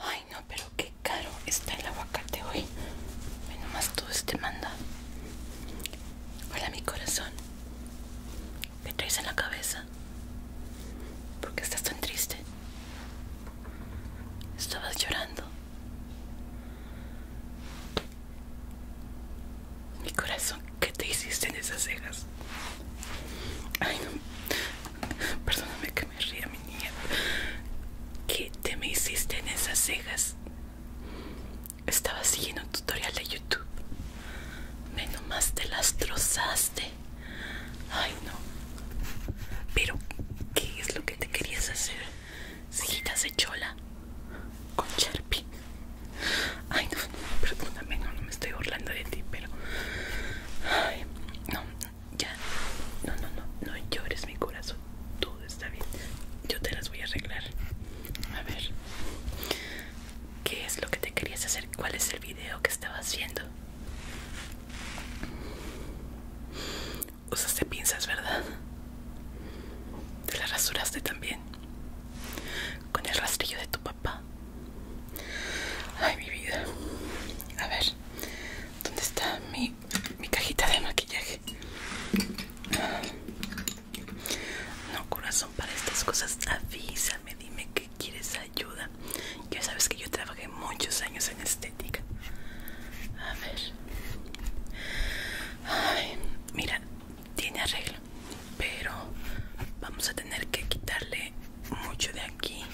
Ay, no, pero qué caro está el aguacate hoy. Menos todo este manda. Hola, mi corazón. ¿Qué traes en la cabeza? ¿Por qué estás tan triste? Estabas llorando. Mi corazón, ¿qué te hiciste en esas cejas? Ay, no. Perdóname que me ría, mi niña. ¿Qué te me hiciste en esas cejas? Estaba siguiendo un tutorial de YouTube. Menos nomás te las trozaste. Ay, no. Pero, ¿qué es lo que te querías hacer? Sillitas de chola con Sharpie. Ay no, perdóname, no, no me estoy burlando de ti, pero. Ay, no, ya. No, no, no, no llores mi corazón. Todo está bien. Yo te las voy a arreglar. A ver qué es lo que te querías hacer, cuál es el video que estabas viendo. Usaste pinzas, ¿verdad? Te las rasuraste también. Con el rastrillo de tu papá. Ay, mi vida. A ver, ¿dónde está mi, mi cajita de maquillaje? No, corazón, para estas cosas avísame, dime qué quieres ayuda. Ya sabes que yo trabajé muchos años en estética. A ver. mira, tiene arreglo, pero vamos a tener que quitarle mucho de aquí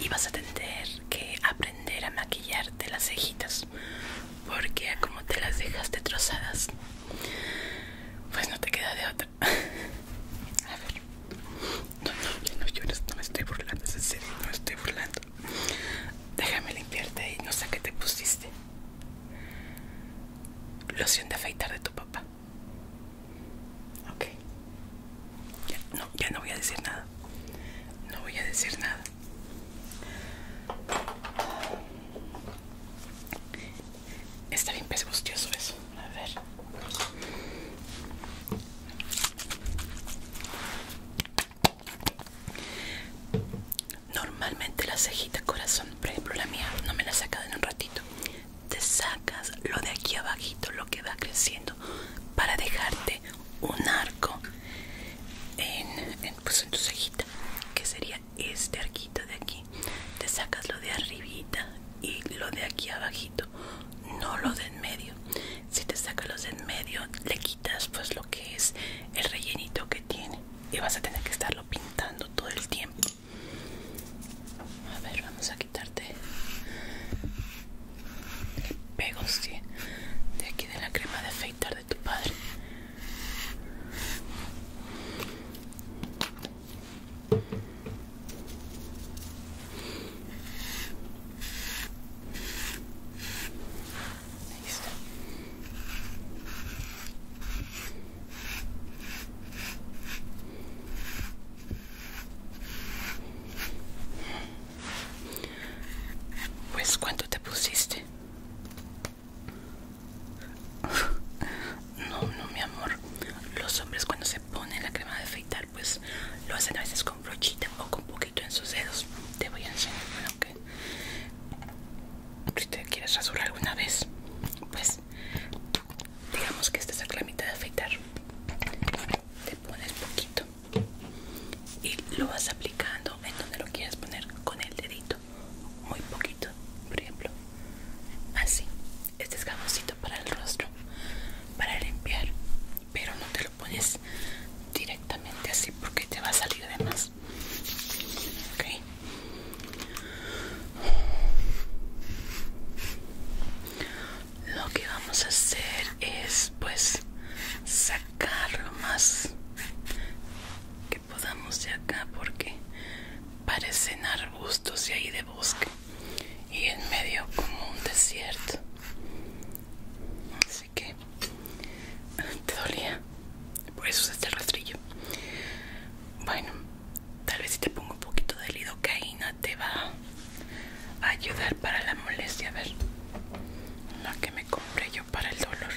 y vas a tener que aprender a maquillarte las cejitas, porque como te las dejaste trozadas, pues no te queda de otra. A ver. No, no, no, yo no, me estoy burlando, es en serio, no me estoy burlando. Déjame limpiarte y no sé qué te pusiste. Loción de afeitar de tu papá. Ok. Ya no, ya no voy a decir nada. No voy a decir nada. Está bien pesgustioso eso. A ver. Normalmente la cejita corazón, por ejemplo la mía, no me la saca en un ratito. Te sacas lo de aquí abajito, lo que va creciendo, para dejarte un arco en pues, tu cejita, que sería este arquito de aquí te sacas lo de arribita y lo de aquí abajito no lo de en medio si te sacas los de en medio le quitas pues lo que es el rellenito que tiene y vas a tener que estarlo pintando todo el tiempo a ver vamos a quitarte el de aquí de la crema de afeitar de tu padre pues cuánto te pusiste. No, no, mi amor. Los hombres cuando se ponen la crema de afeitar, pues lo hacen a veces con brochita o con poquito en sus dedos. Te voy a enseñar, bueno, que si te quieres rasurar alguna vez, pues digamos que esta es la cremita de afeitar. Te pones poquito y lo vas aplicando en donde lo quieras poner con el dedito, muy poquito, por ejemplo Así, este es para el rostro, para limpiar, pero no te lo pones directamente así porque te va a salir de más. Okay. Lo que vamos a hacer es pues sacar lo más que podamos de acá porque parecen arbustos y ahí de bosque y en medio como un desierto así que te dolía por eso es este rastrillo bueno tal vez si te pongo un poquito de lidocaína te va a ayudar para la molestia a ver la que me compré yo para el dolor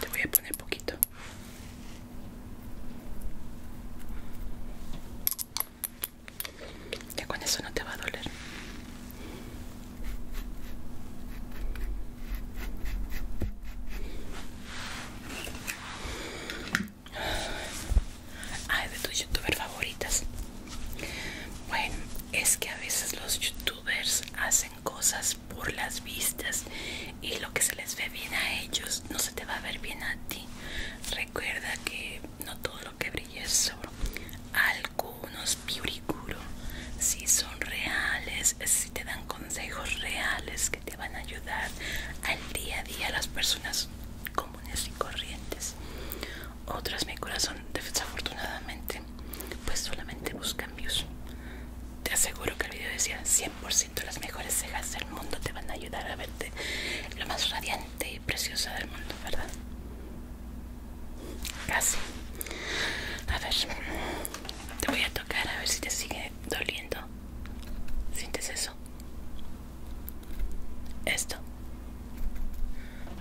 te voy a poner poquito ya con eso no te va a doler. Ah, de tus youtubers favoritas. Bueno, es que a veces los youtubers hacen cosas por las vistas y lo que se les ve bien a ellos no se te va a ver bien a ti. Recuerda que no todo lo que brille es oro. Algunos piuricuro, si son reales, si te dan consejos reales que te van a ayudar al día a día a las personas comunes y corrientes. Otras, mi corazón, desafortunadamente, pues solamente buscan views. Te aseguro que el video decía por siento las mejores cejas del mundo te van a ayudar a verte lo más radiante y preciosa del mundo, ¿verdad? Casi. A ver, te voy a tocar a ver si te sigue doliendo. ¿Sientes eso? Esto.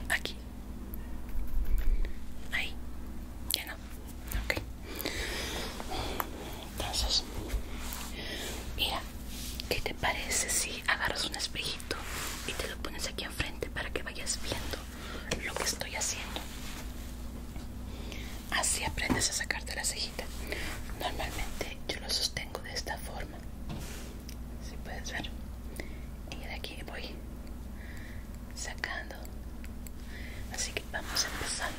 Aquí. Ahí. no ok entonces mira ¿qué te parece si agarras un espejito y te lo pones aquí enfrente para que vayas viendo lo que estoy haciendo así aprendes a sacarte la cejita normalmente yo lo sostengo de esta forma si puedes ver y de aquí voy sacando así que vamos a empezar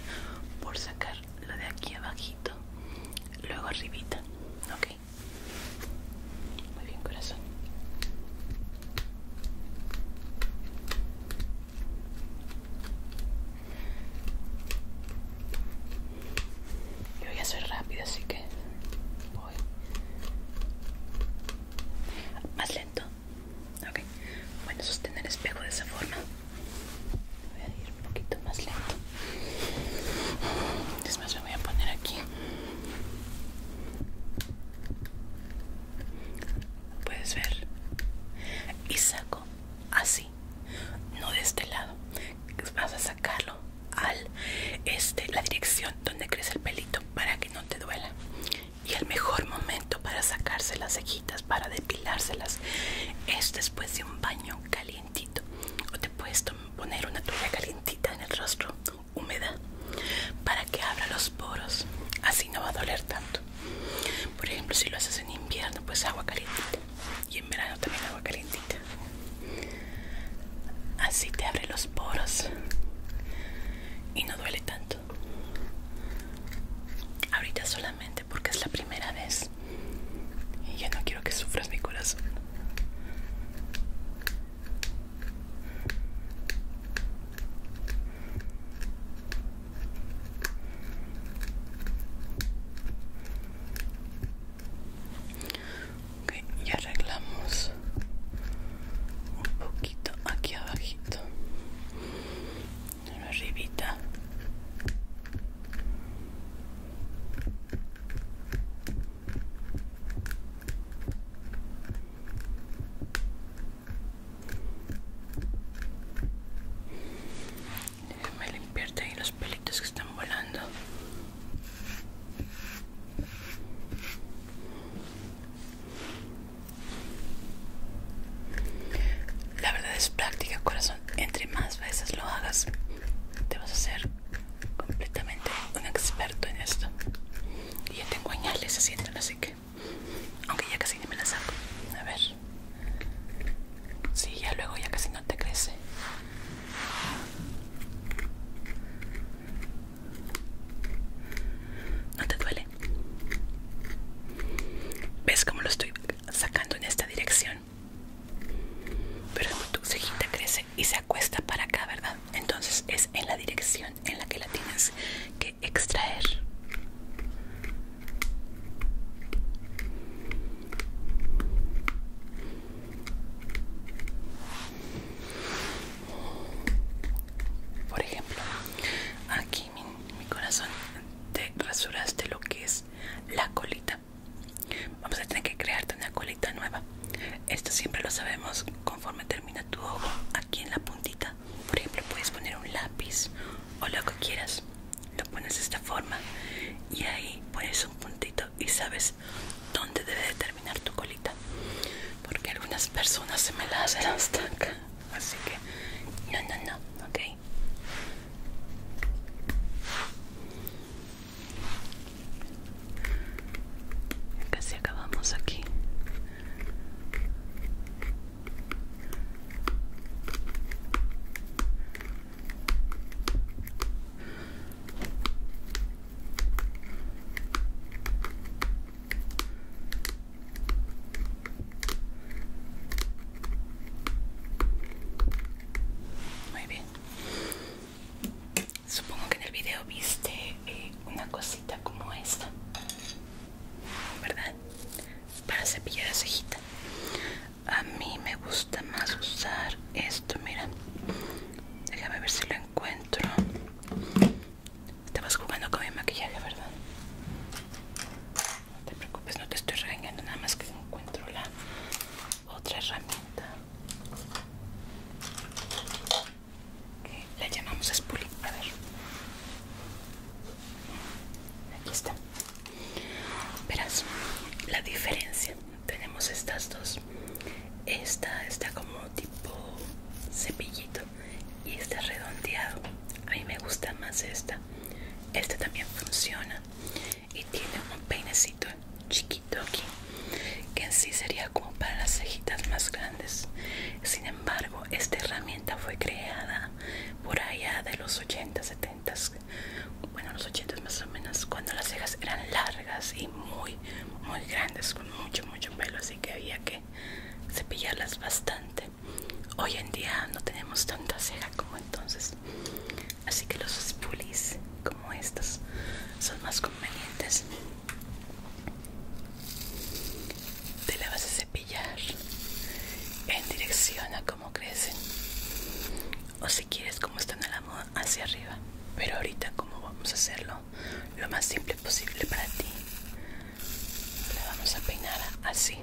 por sacar lo de aquí abajito luego arribita ok muy bien corazón yo voy a ser rápido así que voy más lento Ok, bueno, sostener el espejo de esa forma. Voy a ir un poquito más lento. más me voy a poner aquí. Puedes ver. Y saco así, no de este lado. Vas a sacarlo al este, la dirección donde crece el pelito para que no te duela y el mejor momento para sacarse las cejitas, para depilárselas, es después de un baño calientito. O te puedes poner una toalla calientita en el rostro, húmeda, para que abra los poros. Así no va a doler tanto. Por ejemplo, si lo haces en invierno, pues agua calientita. Y en verano también agua calientita. Así te abre los poros y no duele tanto ahorita solamente porque es la primera vez y ya no quiero que sufras mi corazón y arreglamos un poquito aquí abajito arribita déjame limpiarte ahí los pelitos que están volando la verdad es práctica, corazón. Entre más veces lo hagas, te vas a hacer completamente un experto en esto. Y ya tengo añales así que. Aunque ya casi ni me la saco. A ver. Sí, ya luego ya casi no te crece. ¿No te duele? ves como lo estoy sacando en esta dirección pero tu cejita crece y se acuesta para acá verdad entonces es en la dirección en la que la tienes que extraer por ejemplo aquí mi, corazón te rasuraste lo que es la colita vamos a tener que crearte una colita nueva esto siempre lo sabemos conforme termina tu ojo aquí en la puntita por ejemplo puedes poner un lápiz o lo que quieras lo pones de esta forma y ahí pones un puntito y sabes dónde debe terminar tu colita porque algunas personas se me las hacen así que no, no, no, ok. Casi acabamos aquí. Muy bien. Supongo que en el video viste eh, una cosita como esta, ¿verdad? Para cepillar la A mí me gusta más usar esto, mira. Déjame ver si lo encuentro. Estabas jugando con mi maquillaje, ¿verdad? No te preocupes, no te estoy regañando, nada más que encuentro la otra herramienta que la llamamos spoolie. A ver, aquí está. Verás la diferencia. Tenemos estas dos. Esta está como tipo cepillito y está redondeado. A mí me gusta más esta. Esta también funciona y tiene un peinecito chiquito aquí que en sí sería como para las cejitas más grandes. Sin embargo, esta herramienta fue creada por allá de los 80, 70, bueno, los 80 más o menos, cuando las cejas eran largas y muy, muy grandes, con mucho, mucho pelo, así que había que cepillarlas bastante hoy en día no tenemos tanta ceja como entonces así que los spoolies como estos son más convenientes te la vas a cepillar en dirección a cómo crecen o si quieres como están a la moda hacia arriba pero ahorita como vamos a hacerlo lo más simple posible para ti. Le vamos a peinar así.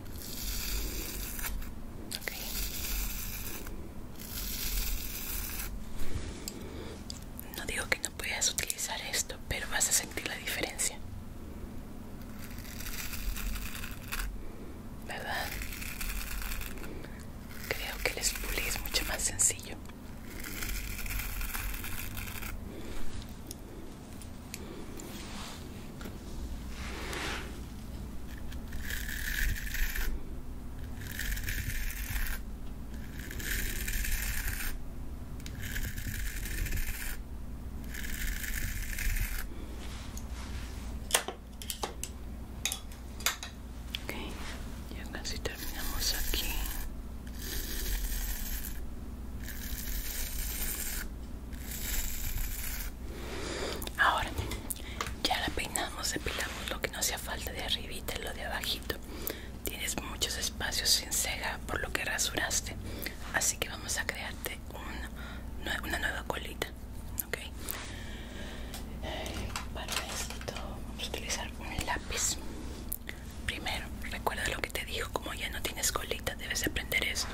No digo que no puedas utilizar esto, pero vas a sentir la diferencia. ¿Verdad? Creo que el spoolie es mucho más sencillo. Okay, ya casi terminamos aquí. Ahora ya la peinamos, depilamos lo que no sea falta de arribita y lo de abajito. Tienes muchos espacios sin ceja por lo que rasuraste, así que vamos a crearte una, una nueva colita. ¿ok? Para esto vamos a utilizar un lápiz Primero, recuerda lo que te dijo, como ya no tienes colita, debes aprender esto.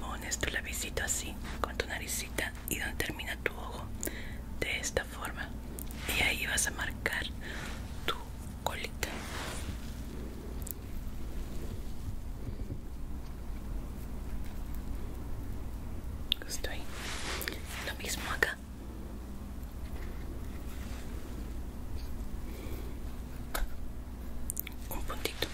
Pones tu lapicito así, con tu naricita y donde termina tu ojo, de esta forma. Y ahí vas a marcar tu colita. Justo Lo mismo acá un puntito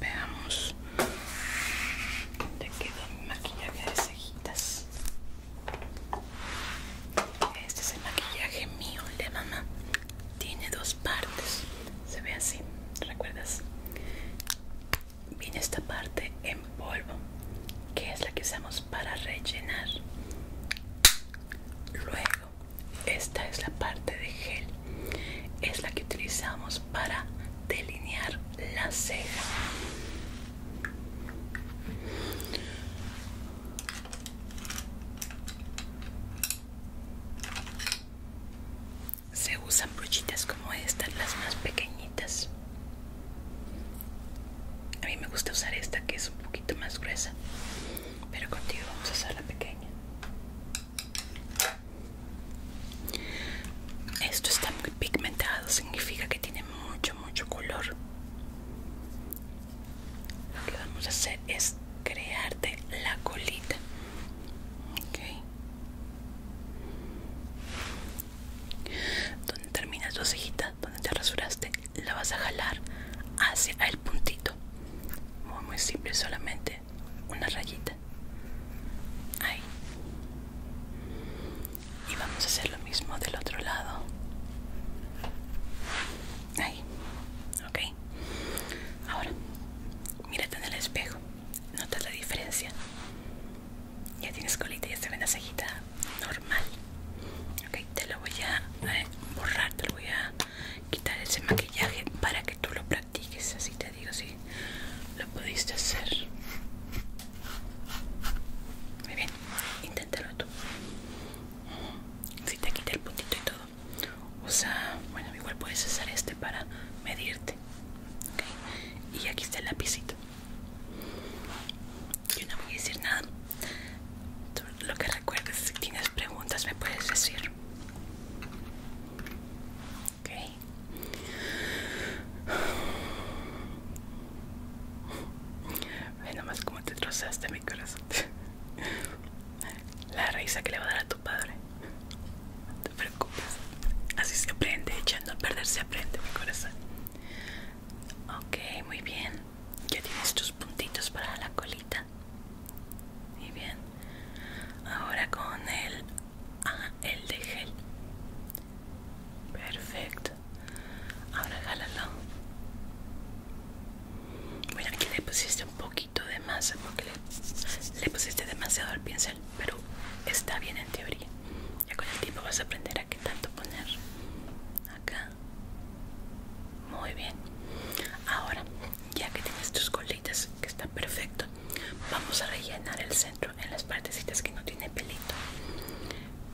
veamos Te quedó mi maquillaje de cejitas este es el maquillaje mío de mamá tiene dos partes se ve así recuerdas viene esta parte en polvo que es la que usamos para rellenar luego esta es la parte de gel es la que utilizamos para delinear la ceja se usan brochitas como estas, las más pequeñitas. A mí me gusta usar esta que es un poquito más gruesa, pero contigo vamos a usar la pequeña. Esto está muy pigmentado, significa que tiene mucho, mucho color lo que vamos a hacer es crearte la colita ok donde terminas tu cejita donde te rasuraste la vas a jalar hacia el puntito muy muy simple solamente una rayita ahí y vamos a hacer lo mismo del otro lado ahí ok Ahora, mírate en el espejo. nota la diferencia? Ya tienes colita, ya se ven la normal. Ok, te lo voy a eh, borrar, te lo voy a quitar ese maquillaje para que tú lo practiques. Así te digo, si lo pudiste hacer. Muy bien, inténtalo tú. Si te quita el puntito y todo, sea, bueno igual puedes usar este para medirte y aquí está el lapicito yo no voy a decir nada lo que recuerdes si tienes preguntas me puedes decir ok nomás como te trozaste mi corazón la risa que le va a dar a tu padre. No te preocupes. Así se aprende, echando a perder se aprende, mi corazón. Ok, muy bien. Ya tienes tus puntitos para la colita. Muy bien. Ahora con el, ah, el de gel. Perfecto. Ahora jálalo. Bueno, aquí le pusiste un poquito de masa porque le, pusiste demasiado al pincel, pero está bien en teoría. Ya con el tiempo vas a aprender a qué tanto poner acá. Muy bien. Ahora, ya que tienes tus colitas, que están perfecto, vamos a rellenar el centro en las partecitas que no tiene pelito.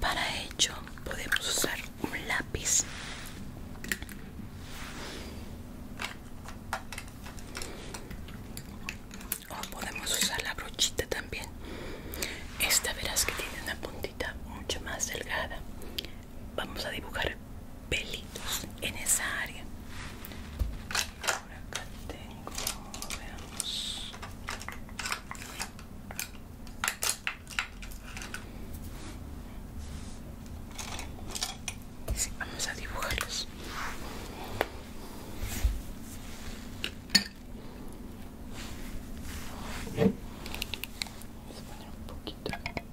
Para ello podemos usar un lápiz o podemos usar la brochita también esta verás que tiene una puntita mucho más delgada vamos a dibujar pelitos en esa área por acá tengo veamos Vamos a dibujarlos. Vamos a poner un poquito. Aquí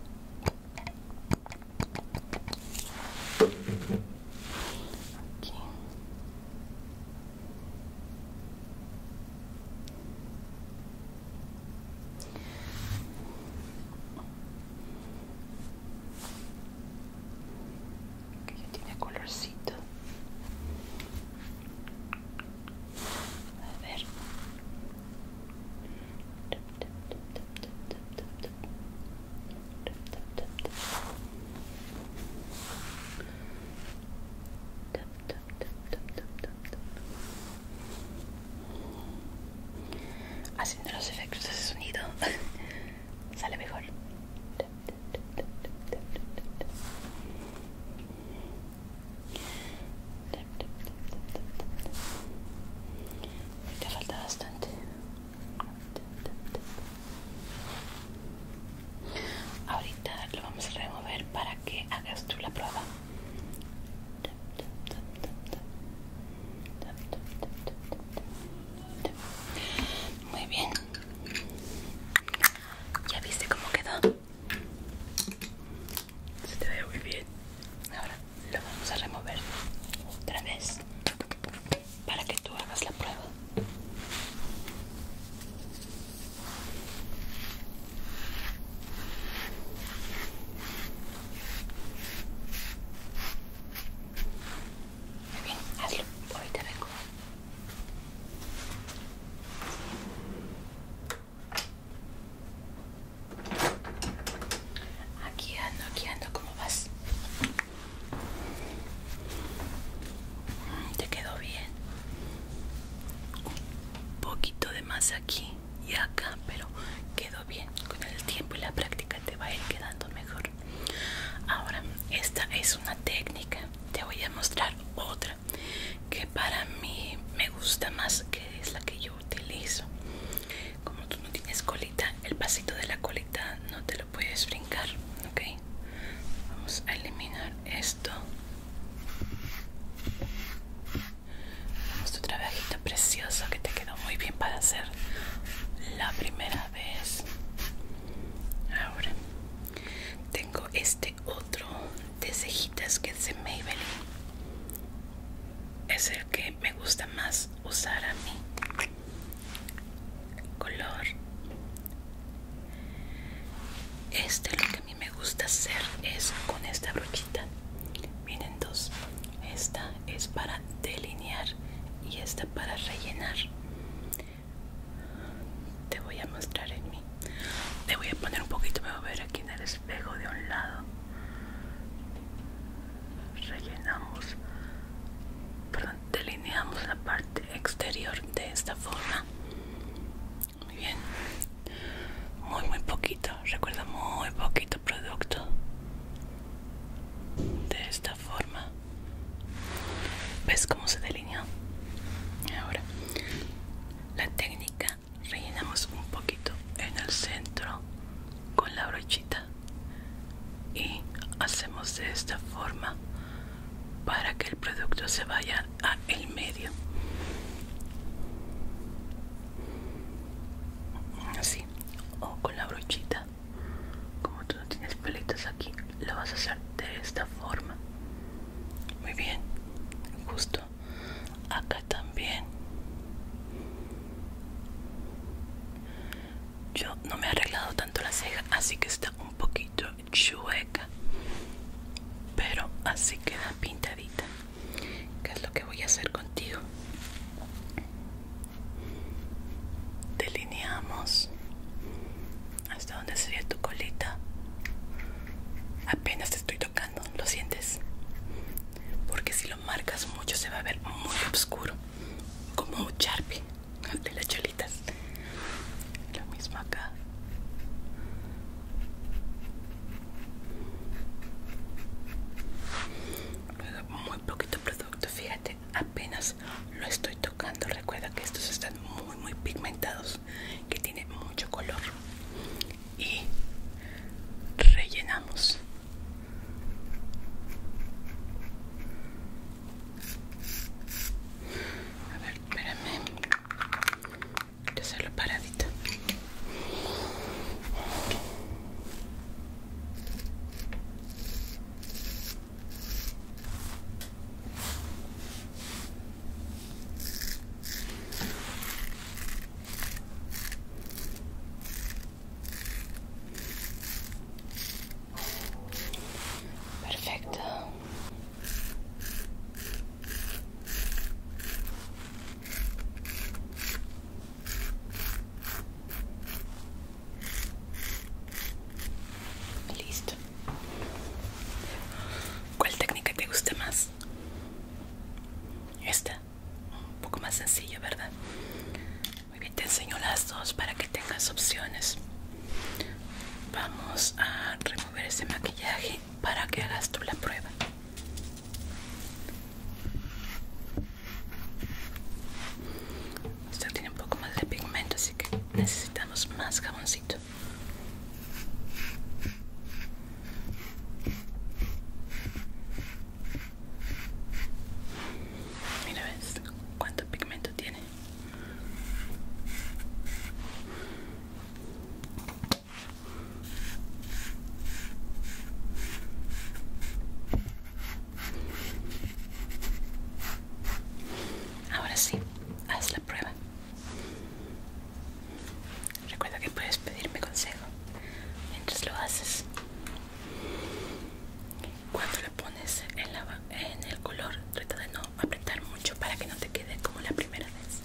que ya tiene colorcito a ver haciendo los efectos de sonido sale mejor te falta bastante ahorita lo vamos a remover para que hagas tú la prueba muy bien. ¿Ya viste cómo quedó? Se te ve muy bien. Ahora lo vamos a remover otra vez para que tú hagas la prueba. Aquí ando, aquí ando, ¿cómo vas? Te quedó bien. Un poquito de más aquí y acá pero quedó bien con el tiempo y la práctica te va a ir quedando mejor ahora esta es una técnica te voy a mostrar otra que para mí me gusta más que es la que yo utilizo como tú no tienes colita el pasito de la colita no te lo puedes brincar ok vamos a eliminar esto vamos tu trabajito precioso que te quedó muy bien para hacer la primera vez. Ahora tengo este otro de cejitas que es de Maybelline. Es el que me gusta más usar a mí. color. Este lo a me gusta hacer es con esta brochita miren dos esta es para delinear y esta para rellenar te voy a mostrar en mí te voy a poner un poquito me voy a ver aquí en el espejo de un lado rellenamos perdón delineamos la parte exterior de esta forma muy bien. Muy, muy poquito. Recuerda, muy poquito producto. De esta forma. ¿Ves cómo se delineó? Ahora, la técnica rellenamos un poquito en el centro con la brochita y hacemos de esta forma para que el producto se vaya a el medio así o con la brochita como tú no tienes pelitos aquí lo vas a hacer de esta forma muy bien justo acá también yo no me he arreglado tanto la ceja así que está un poquito chueca pero así queda pintadita que es lo que voy a hacer contigo delineamos hasta donde sería tu colita apenas te estoy tocando lo sientes porque si lo marcas mucho se va a ver muy oscuro como un charpi de las cholitas lo mismo acá muy poquito producto fíjate apenas lo estoy tocando recuerda que estos están muy muy pigmentados que tiene mucho color y rellenamos a ver espérame de solo paradito Perfecto. Listo. ¿Cuál técnica te gusta más? Esta. Un poco más sencilla, ¿verdad? Muy bien, te enseño las dos para que tengas opciones. Vamos a remover ese maquillaje para que hagas tú la prueba. Usted tiene un poco más de pigmento, así que necesitamos más jaboncito. Mira, ves cuánto pigmento tiene. Ahora sí, haz la prueba. Recuerda que puedes pedirme consejo mientras lo haces. Cuando lo pones en, en el color, trata de no apretar mucho para que no te quede como la primera vez.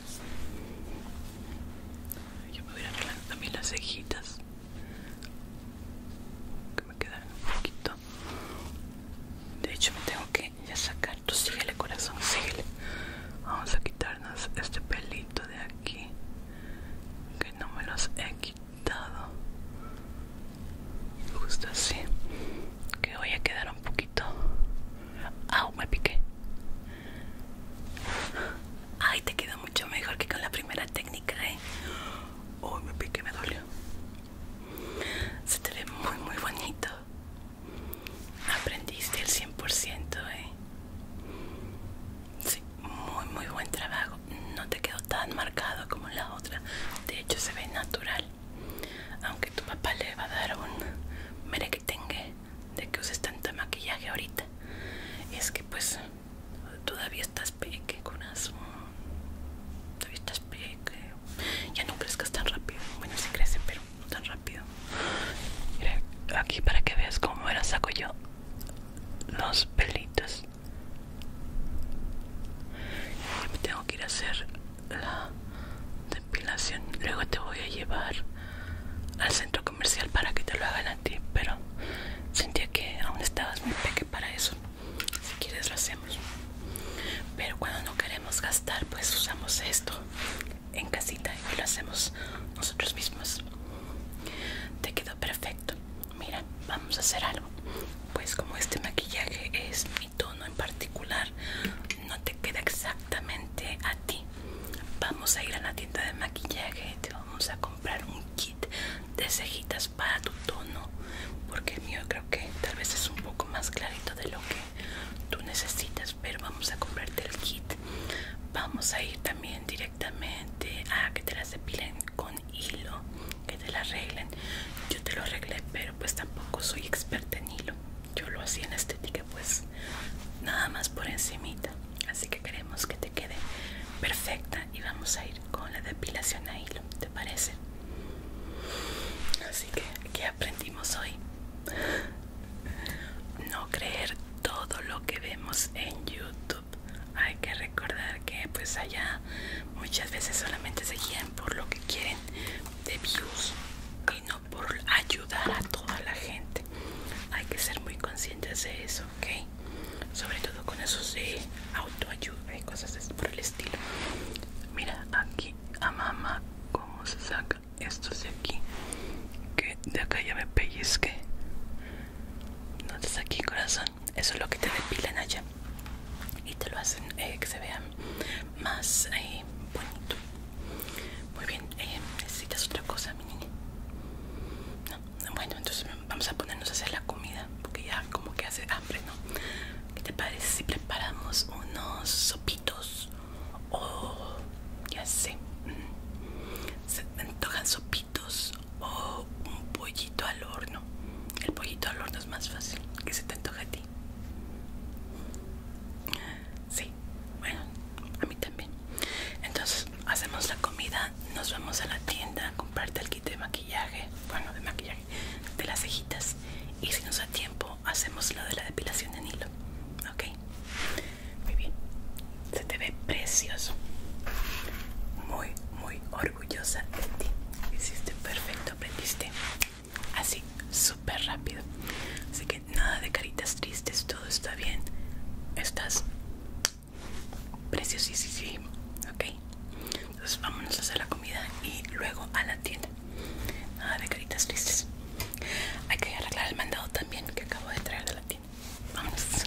Yo me voy a arreglar también las cejitas que me quedan un poquito. De hecho, me tengo que ya sacar. Tú síguele, corazón, síguele. Vamos a quitarnos este pelito de aquí que no me los he quitado. Justo así. Que voy a quedar un poquito. ¡Au! Me piqué. Ay, te quedó mucho mejor que con la primera técnica, ¿eh? Uy, me pique me dolió. Se te ve muy, muy bonito. Aprendiste el 100%, ¿eh? Sí, muy, muy buen trabajo. No te quedó tan marcado como la otra. De hecho, se ve natural. Aunque tu papá le va a dar un tenga de que uses tanto maquillaje ahorita es que pues todavía estás peque con azul todavía estás peque ya no crezcas tan rápido bueno si sí crece pero no tan rápido mira aquí para que veas cómo era saco yo los pelitos me tengo que ir a hacer la depilación luego te voy a llevar al centro comercial para que te lo hagan a ti pero sentía que aún estabas muy peque para eso si quieres lo hacemos pero cuando no queremos gastar pues usamos esto en casita y lo hacemos nosotros mismos te quedó perfecto mira vamos a hacer algo pues como este maquillaje es mi tono en particular no te queda exactamente a ti vamos a ir a la tienda de maquillaje te vamos a comprar un kit de cejitas para tu tono porque el mío creo que tal vez es un poco más clarito de lo que tú necesitas pero vamos a comprarte el kit vamos a ir también directamente a que te las depilen con hilo que te la arreglen yo te lo arreglé pero pues tampoco soy experta en hilo yo lo hacía en estética pues nada más por encimita así que queremos que te quede perfecta y vamos a ir con la depilación a hilo te parece así que qué aprendimos hoy no creer todo lo que vemos en youtube hay que recordar que pues allá muchas veces solamente se guían por lo que quieren de views y por ayudar a toda la gente. Hay que ser muy conscientes de eso, ¿ok? Sobre todo con eso de autoayuda y cosas por el estilo. Mira aquí a mamá cómo se saca esto de aquí. Que de acá ya me que No te aquí corazón. Eso es lo que te depilan allá. Y te lo hacen eh, que se vean más eh, bonito. Muy bien, eh, ¿necesitas otra cosa, mi niña? No, bueno, entonces vamos a ponernos a hacer la comida, porque ya como que hace hambre, ¿no? ¿Qué te parece si preparamos unos sopitos? O, ya sé, mm, se te antojan sopitos o un pollito al horno. El pollito al horno es más fácil. ¿Qué se te antoja a ti? sí. bueno, a mí también. Entonces hacemos la comida, nos vamos a la tienda a comprarte el kit de maquillaje, bueno, de maquillaje, de las cejitas. Y si nos da tiempo, hacemos lo de la depilación de hilo. Ok, muy bien. Se te ve precioso. Muy, muy orgullosa de ti. Hiciste perfecto, aprendiste así súper rápido así que nada de caritas tristes todo está bien estás preciosísimo ok entonces vámonos a hacer la comida y luego a la tienda nada de caritas tristes hay que arreglar el mandado también que acabo de traer de la tienda vamos